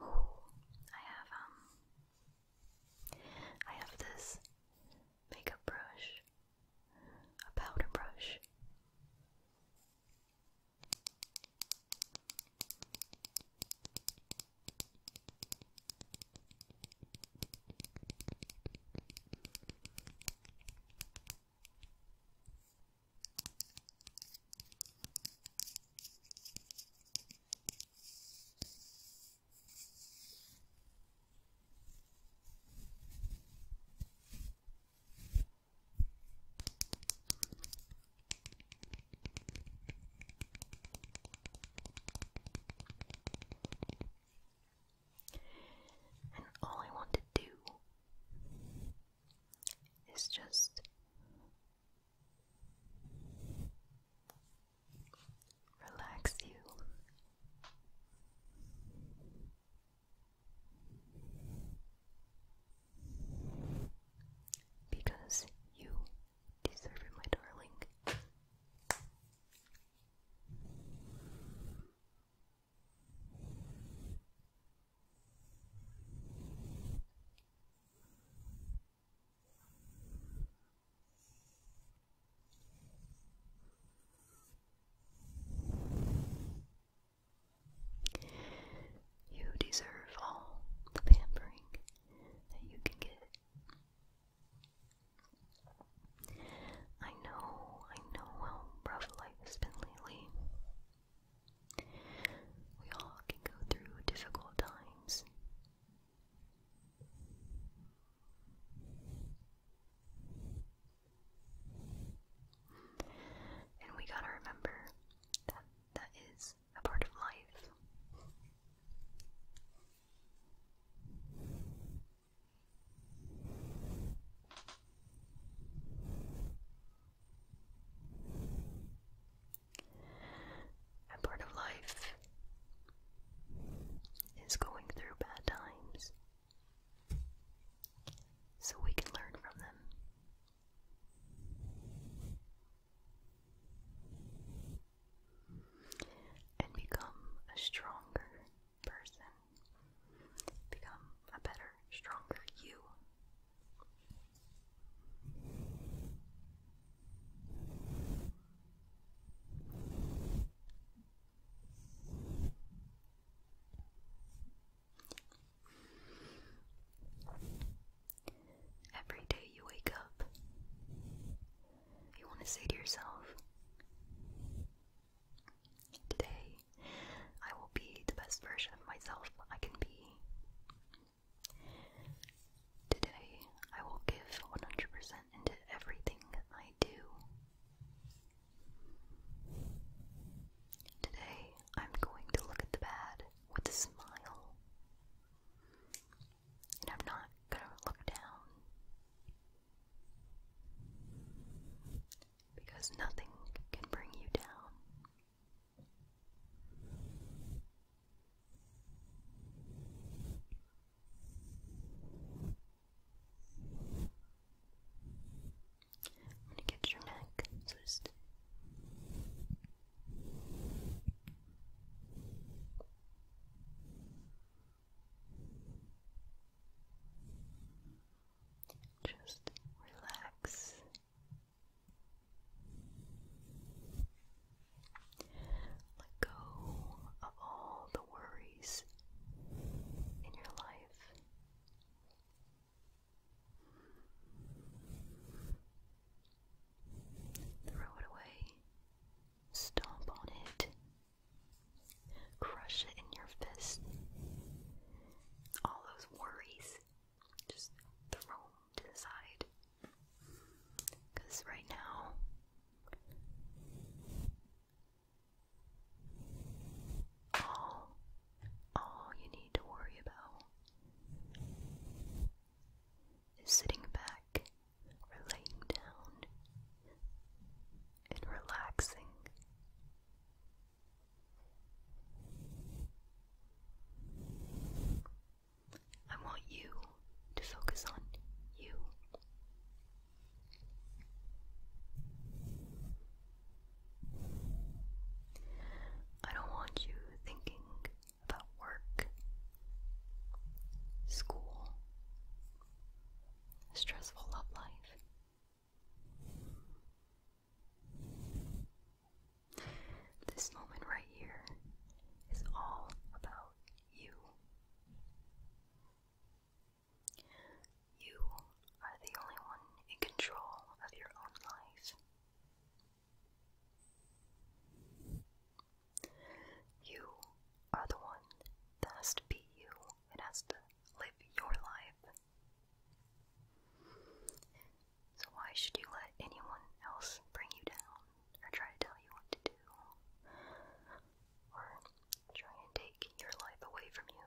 Oh, I have this makeup brush, a powder brush. And all I want to do it's just relax you. Because you deserve it, my darling. You deserve all the pampering that you can get. I know, I know how rough life has been lately. We all can go through difficult times. And we gotta remember that that is a part of life. A part of life is going through bad times so we can learn from them. And become a stronger person. Become a better, stronger you. Every day you wake up, you want to say to yourself, Today, I will be the best version of myself I can be. Today, I will give 100% into everything I do. Today, I'm going to look at the bad with a smile. And I'm not gonna look down because nothing can bring you down. I'm going to get your neck, so just just relax. Let go of all the worries in your life. Throw it away. Stomp on it. Crush it in your fist. All those worries, just throw to the side. Because right now, all, all you need to worry about is sitting back laying down and relaxing I want you to focus on you. I don't want you thinking about work, school, stressful love life, this moment right here is all about you. You are the only one in control of your own life. You are the one that has to be you and has to live your life. So, why should you let anyone else bring you down or try to tell you what to do or try and take your life away from you?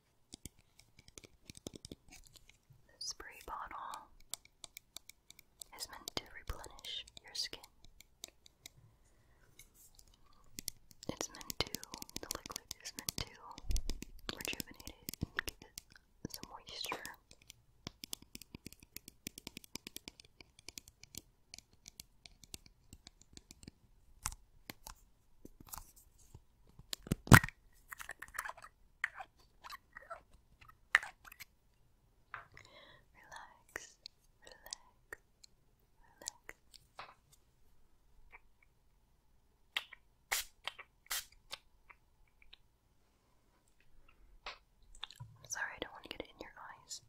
The spray bottle is meant to replenish your skin. It's meant to, the liquid is meant to rejuvenate it and give moisture. Relax, relax, relax. sorry, I don't want to get it in your eyes.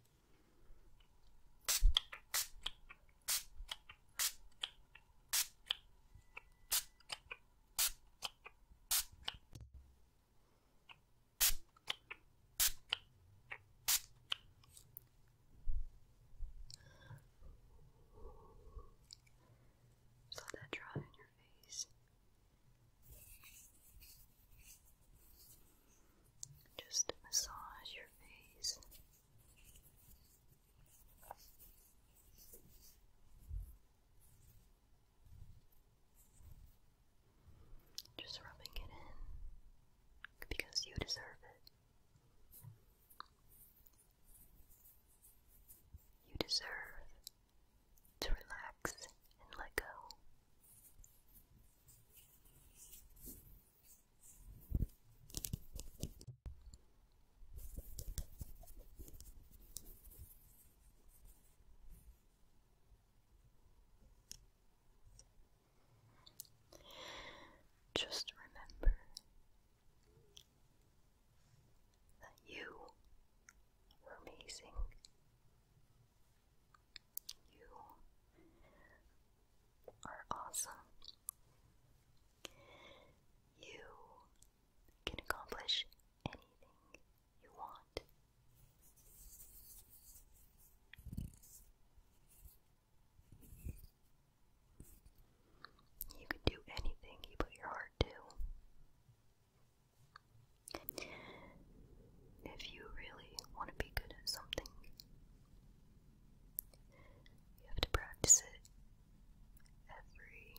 Just let that dry in your face. Just massage your face. Just rubbing it in because you deserve it. You deserve to relax and let go. Just remember that you are amazing. You are awesome. You can accomplish anything you want. You can do anything you put your heart to. If you really want to be good at something, you have to practice it every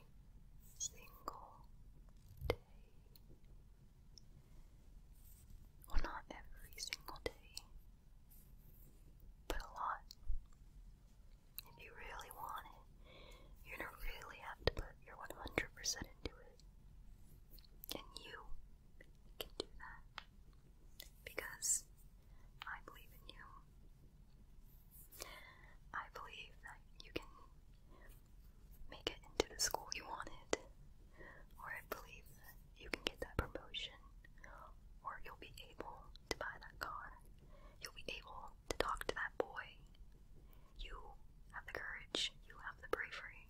single day. Well, not every single day, but a lot. If you really want it, you're gonna really have to put your 100% into it. And you can do that. Because I believe in you. I believe that you can make it into the school you wanted, or I believe you can get that promotion, or you'll be able to buy that car, you'll be able to talk to that boy. You have the courage, you have the bravery,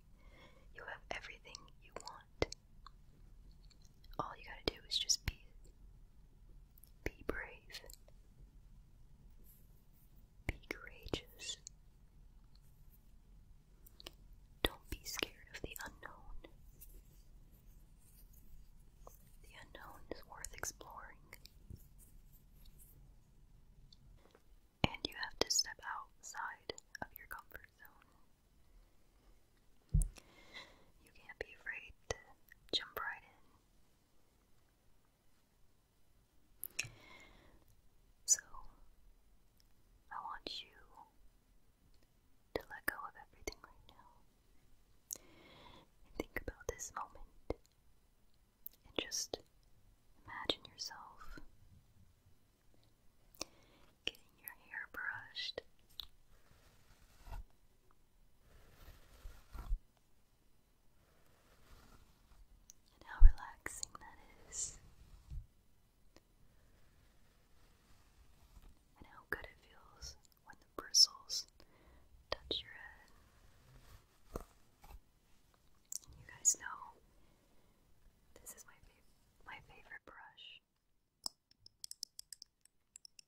you have everything you want all you gotta do is just be be brave. Be courageous. Don't be scared of the unknown. The unknown is worth exploring. And you have to step outside of your comfort zone. You can't be afraid to jump right in. So, I want you to let go of everything right now and think about this moment and just imagine yourself getting your hair brushed. And how relaxing that is. And how good it feels when the bristles touch your head. you guys know this is my, my favorite brush.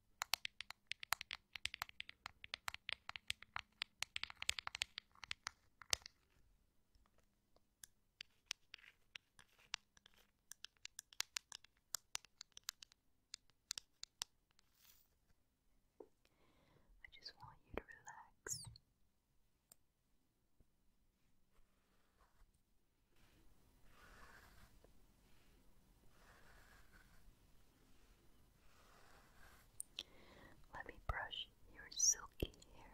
I just want you to relax. Let me brush your silky hair.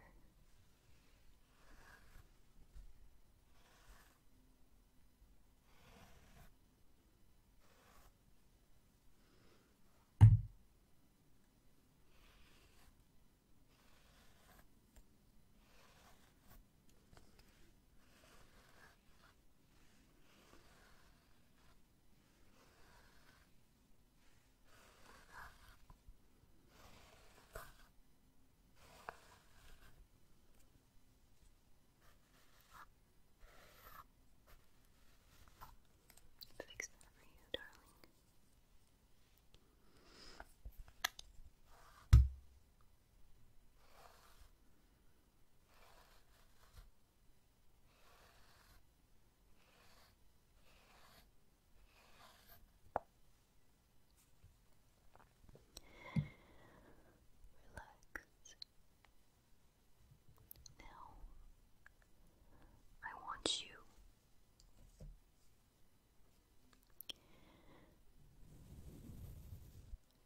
Fix that for you, darling. Relax. Now, I want you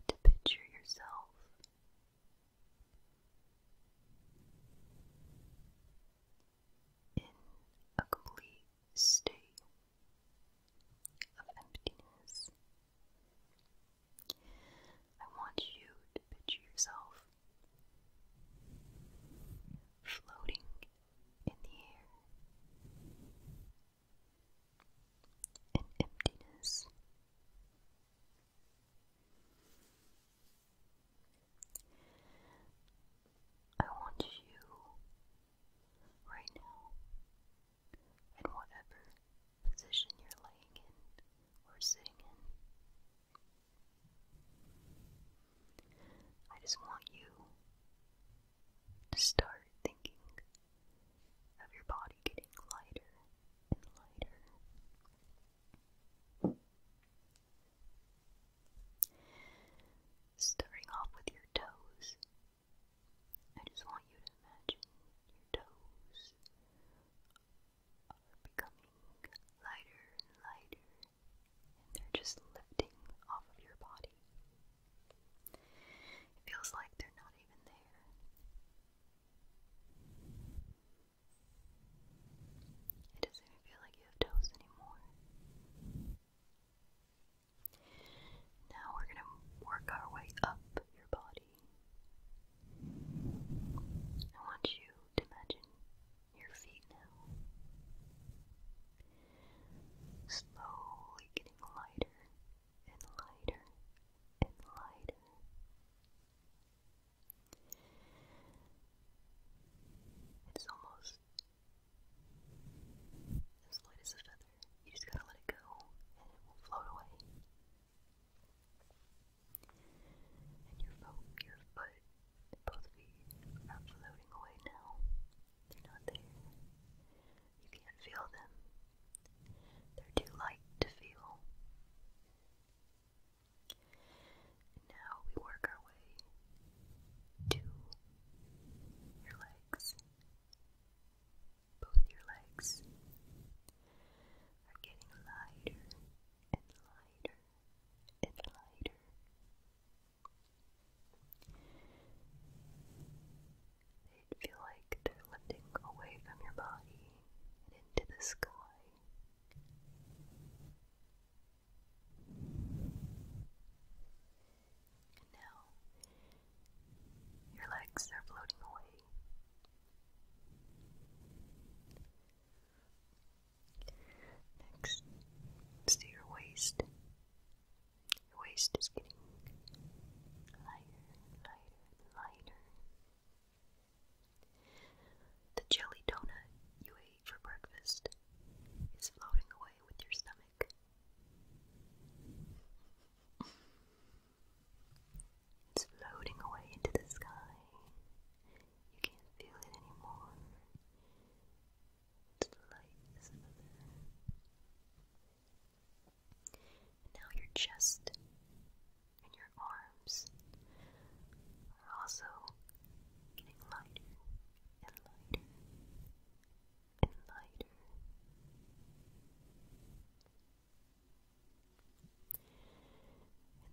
to picture yourself in a complete state of emptiness. I want you to picture yourself floating in the air in emptiness. I want you right now, in whatever position you're laying in or sitting in. I just want you to start thinking of your body getting lighter and lighter. Starting off with your toes, I just want you to imagine your toes becoming lighter and lighter, and they're just lifting off of your body. It feels like they're not even there. It doesn't feel like you have toes anymore. Now we're going to work our way up your body. I want you to imagine your feet now. Slowly getting lighter and lighter and lighter. It's almost as light as a feather. You just gotta let it go and it will float away. And your foot, your foot, both feet are floating away now. They're not there. You can't feel them. They're too light to feel. now we work our way to your legs. Both your legs are getting lighter and lighter and lighter they feel like they're lifting away from your body and into the sky. And now, your legs are floating away. Next, let your waist. Your waist is getting lighter lighter lighter. The jelly donut you ate for breakfast is floating away with your stomach. It's floating away into the sky. You can't feel it anymore. It's light and now your chest and your arms are also getting lighter and lighter and lighter.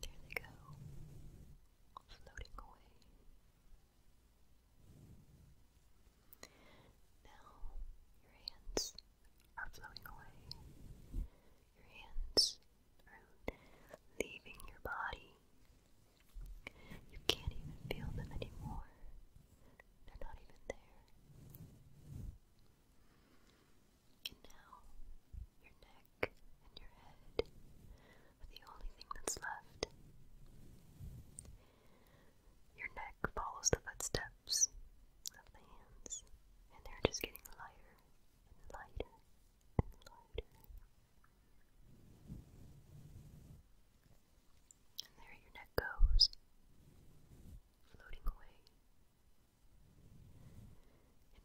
And there they go, floating away. Now your hands are floating away. Your hands are leaving your body. You can't even feel them anymore. They're not even there. And now, your neck and your head are the only thing that's left. Your neck follows the footsteps of the hands, and they're just getting lighter and lighter and lighter. And there your neck goes, floating away.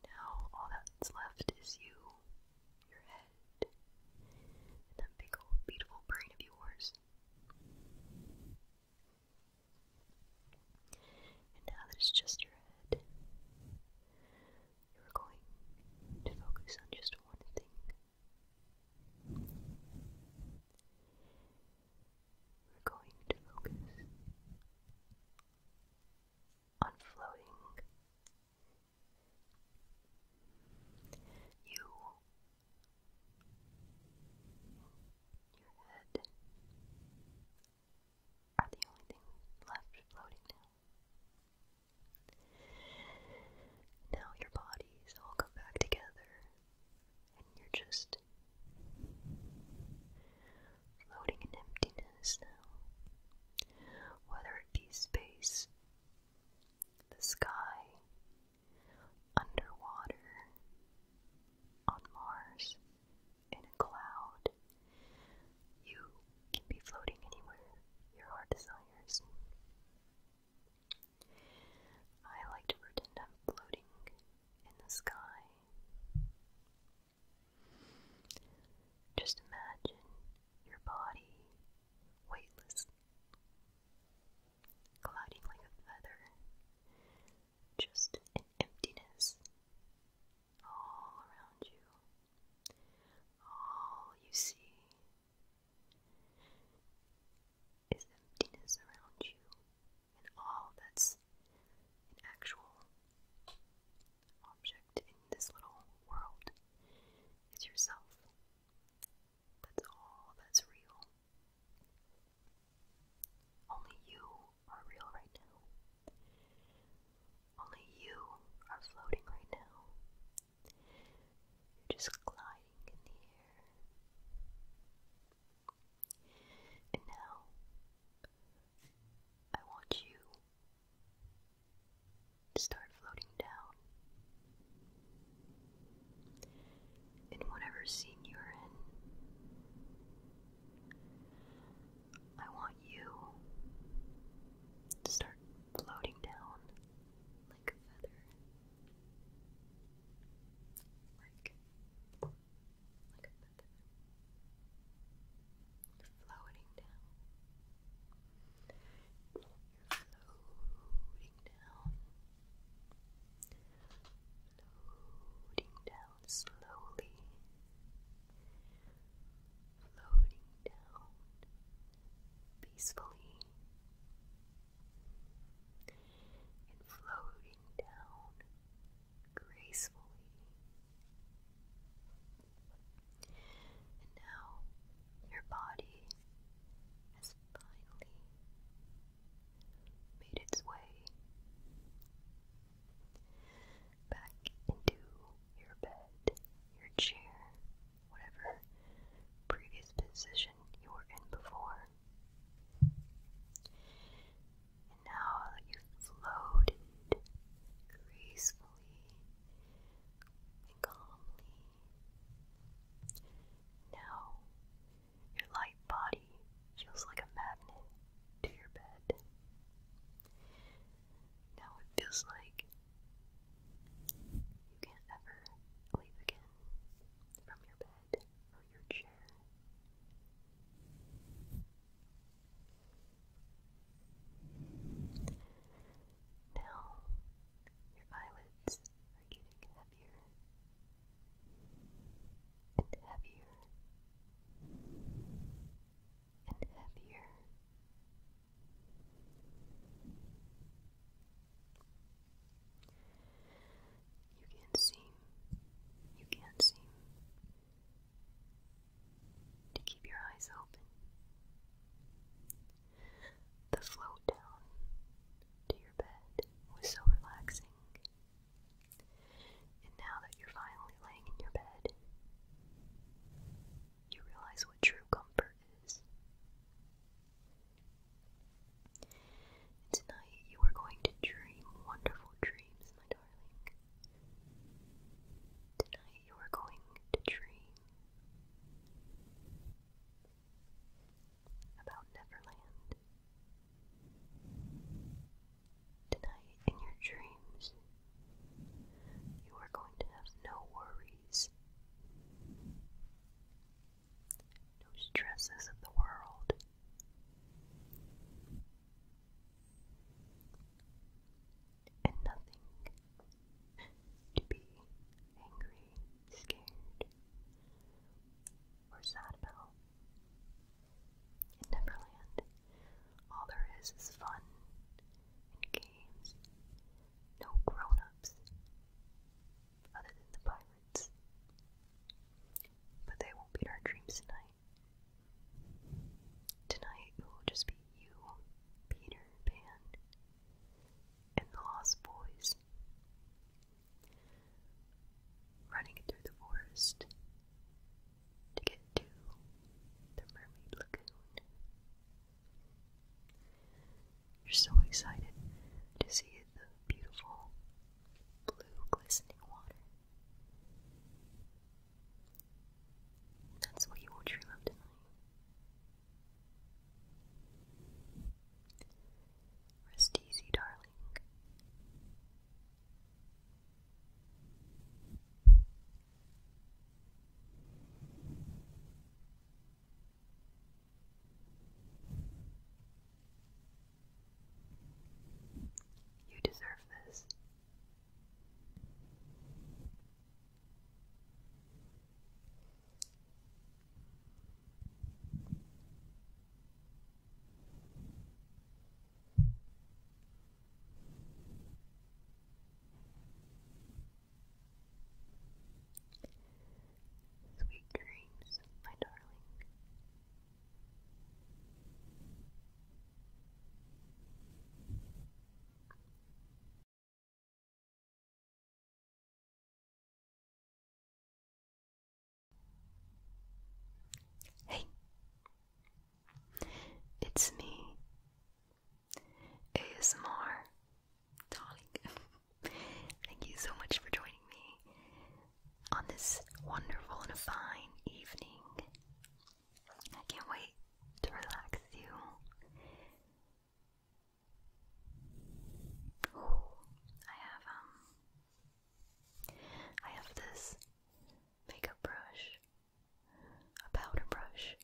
And now all that's left is you, your head, and that big old beautiful brain of yours. And now that it's just your head, you're going to focus on just one thing. We're going to focus on floating. You your head are the only things left floating now. Now your bodies all come back together and you're just floating in emptiness now. Whether it be space, the sky, underwater, on Mars, in a cloud. You can be floating anywhere your heart desires. I like to pretend I'm floating in the sky. Just imagine your body weightless, gliding like a feather just an emptiness all around you. All you see is emptiness around you, and all that's an actual object in this little world is yourself. That's all that's real. Only you are real right now. Only you are floating right now. You're just gliding in the air. And now, I want you to start floating down in whatever scene you're in. I want you to start floating down like a feather. Like, like a feather. You're floating down. You're floating down floating down slowly, floating down peacefully, and floating down gracefully. And now your body has finally made its way back into your bed, your chair, whatever previous position you were in before. And now you floated gracefully calmly, now your light body feels like a magnet to your bed. Now it feels like you can't ever leave again from your bed or your chair. Now your eyelids are getting heavier and heavier and heavier. You can't seem, you can't seem to keep your eyes open. The float down to your bed was so relaxing and now that you're finally laying in your bed, you realize what true comfort is. And tonight you are going to dream wonderful dreams, my darling. Tonight you are going to dream about Neverland. Tonight, in your dreams, you are going to have no worries, no stresses of the world. And nothing to be angry, scared, or sad about. In Neverland, all there is is fun and games. No grown other than the pirates. But they won't beat our dreams tonight. Tonight it will just be you, Peter Pan, and the Lost Boys running through the forest to get to the mermaid lagoon. You're so excited to see the beautiful blue glistening water. That's what you will dream of tonight. Rest easy, darling. You deserve this. Sweet dreams, my darling. Hey, it's me, ASMR, Thank you so much for joining me on this wonderful and fine evening. I can't wait to relax you. I have um I have this makeup brush, a powder brush.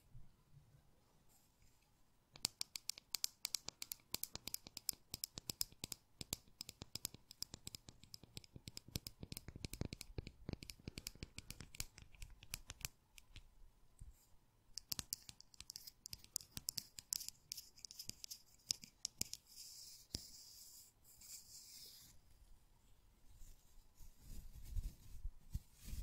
And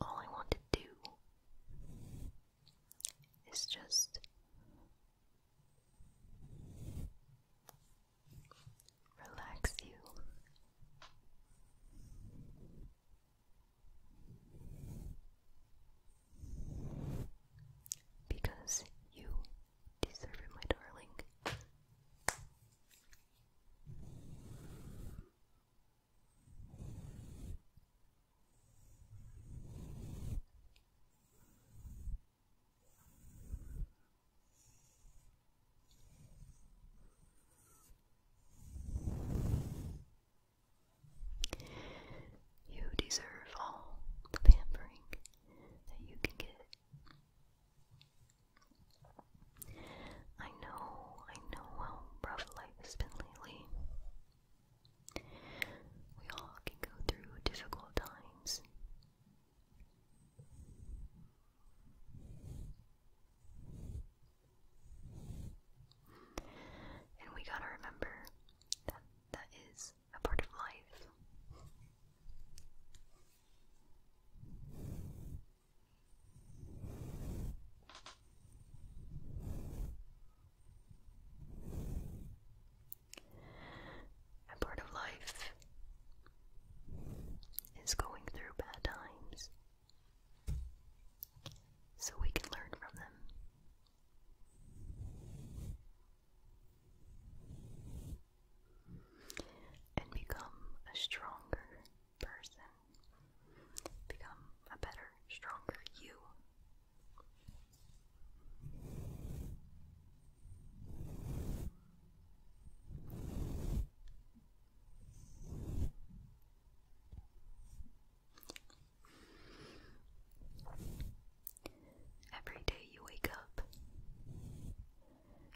all I want to do is just relax you. Because you deserve it, my darling. You deserve all the pampering that you can get. I know, I know how rough life has been lately. We all can go through difficult times. And we gotta remember that that is a part of life. A part of life is going through bad times so we can learn from them. And become a stronger person. Become a better, stronger you. Every day you wake up,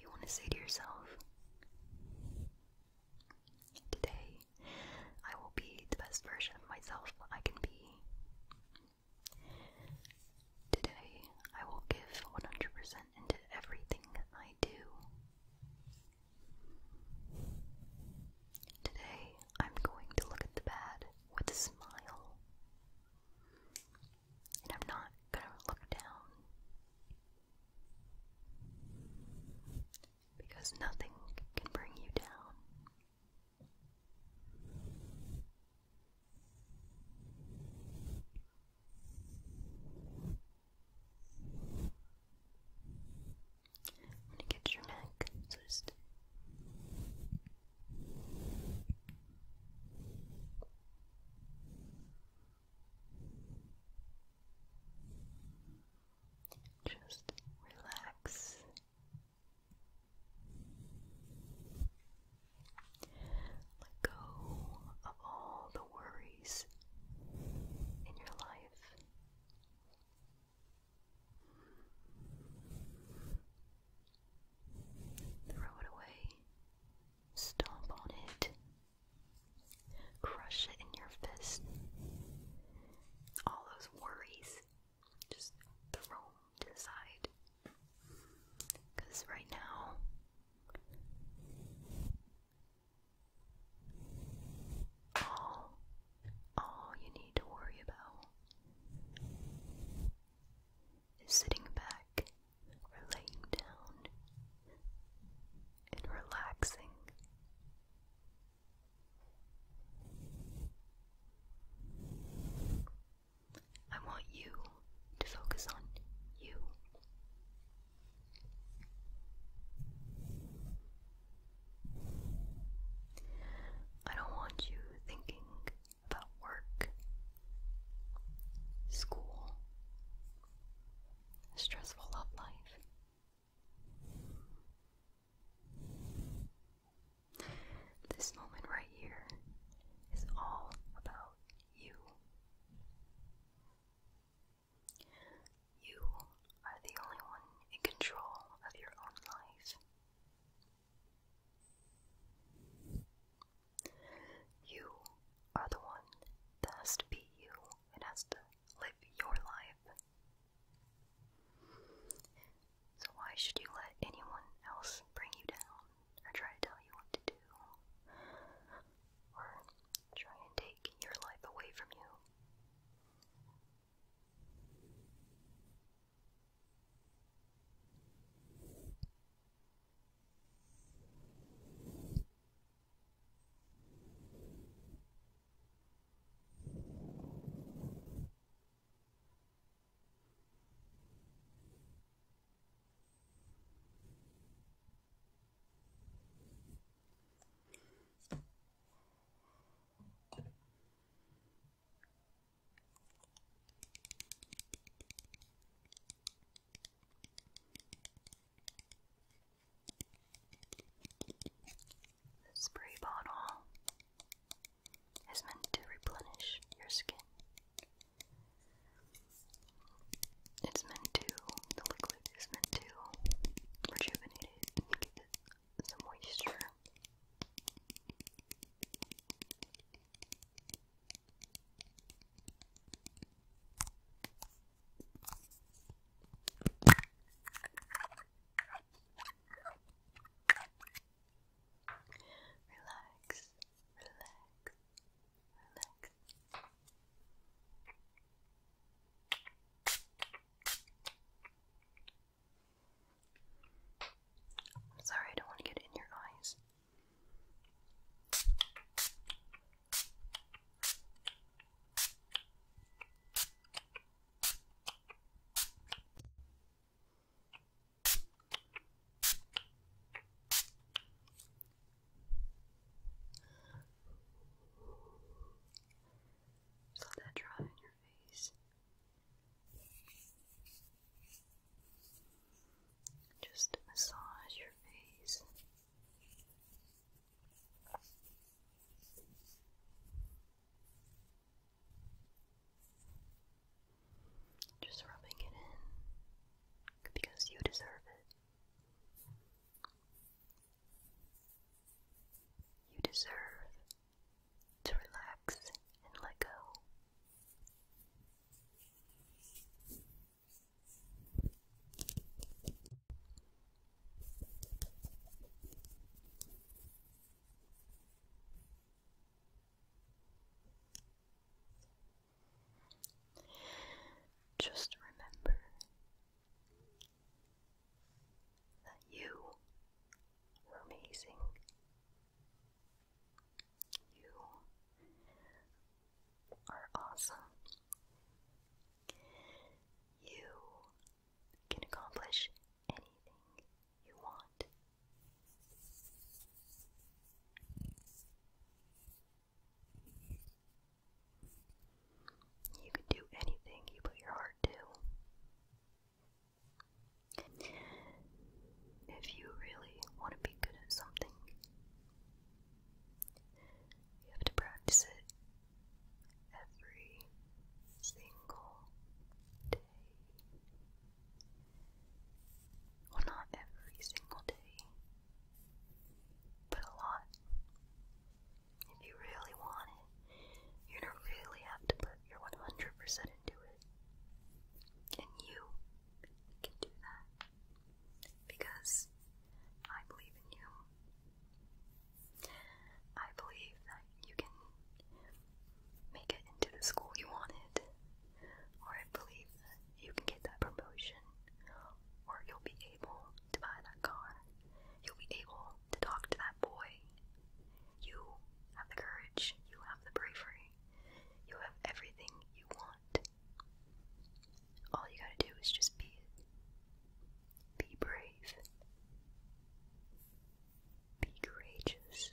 you want to say to yourself, Today I will be the best version of myself I can be. Today, I will give 100% into everything I do. Today, I'm going to look at the bad with a smile. I'm not going to look down. Because nothing can bring you down. I'm gonna get your neck, so just just relax let go of all the worries in your life. Throw it away. Stomp on it. Crush it in your fist. All those worries just throw to the Because right now, all, all you need to worry about is sitting back or laying down and relaxing I want you to focus on you. I don't want you thinking about work, school, stressful life. This moment right here is all about you. You are the only one in control of your own life. You are the one that has to be you and has to live your life so, why should you let anyone else bring you down or try to tell you what to do or try and take your life away from you? The spray bottle is meant to replenish your skin. It's meant to, the liquid is meant to rejuvenate it and give it some moisture. Relax, relax, relax. sorry, I don't want to get in your eyes. Just let that dry on your face. Just massage your face. Just rubbing it in because you deserve it. You deserve to relax and let go. Just remember that you are amazing. You are awesome. You can accomplish anything you want. You can do anything you put your heart to. If you really want to be good at something, you have to practice it every single well, not every single day, but a lot. If you really want it, you really have to put your 100% into it. And you can do that because I believe in you. I believe that you can make it into the school you wanted, or I believe you can get that promotion, or you'll be able to buy that car, you'll be able to talk to that boy. You have the courage, you have the bravery, you have everything you want. All you gotta do is just be Be brave. Be courageous.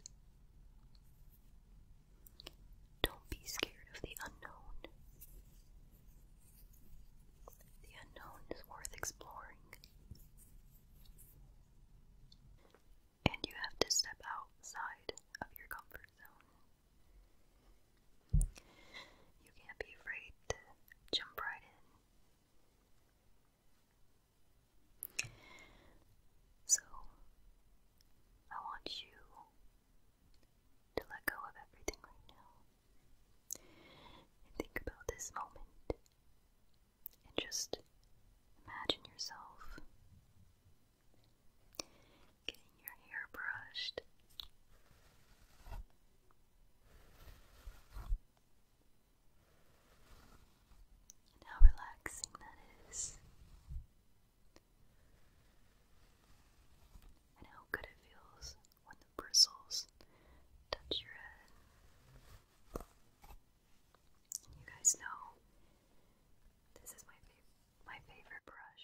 Don't be scared of the unknown. The unknown is worth exploring. And you have to step outside of your comfort zone. You can't be afraid to jump right in. So, I want you to let go of everything right now and think about this moment and just imagine yourself getting your hair brushed and how relaxing that is, and how good it feels when the bristles touch your head. you guys know this is my my favorite brush.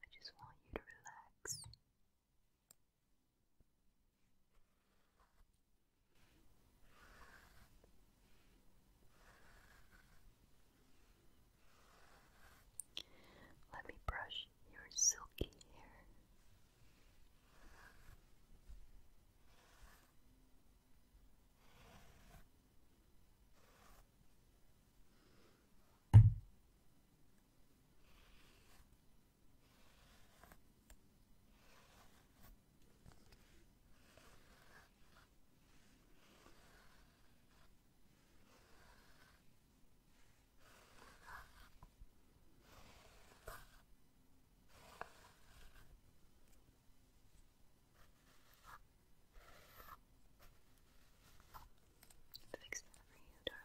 I just want you to relax. Let me brush your silky hair. Fix that for you, darling.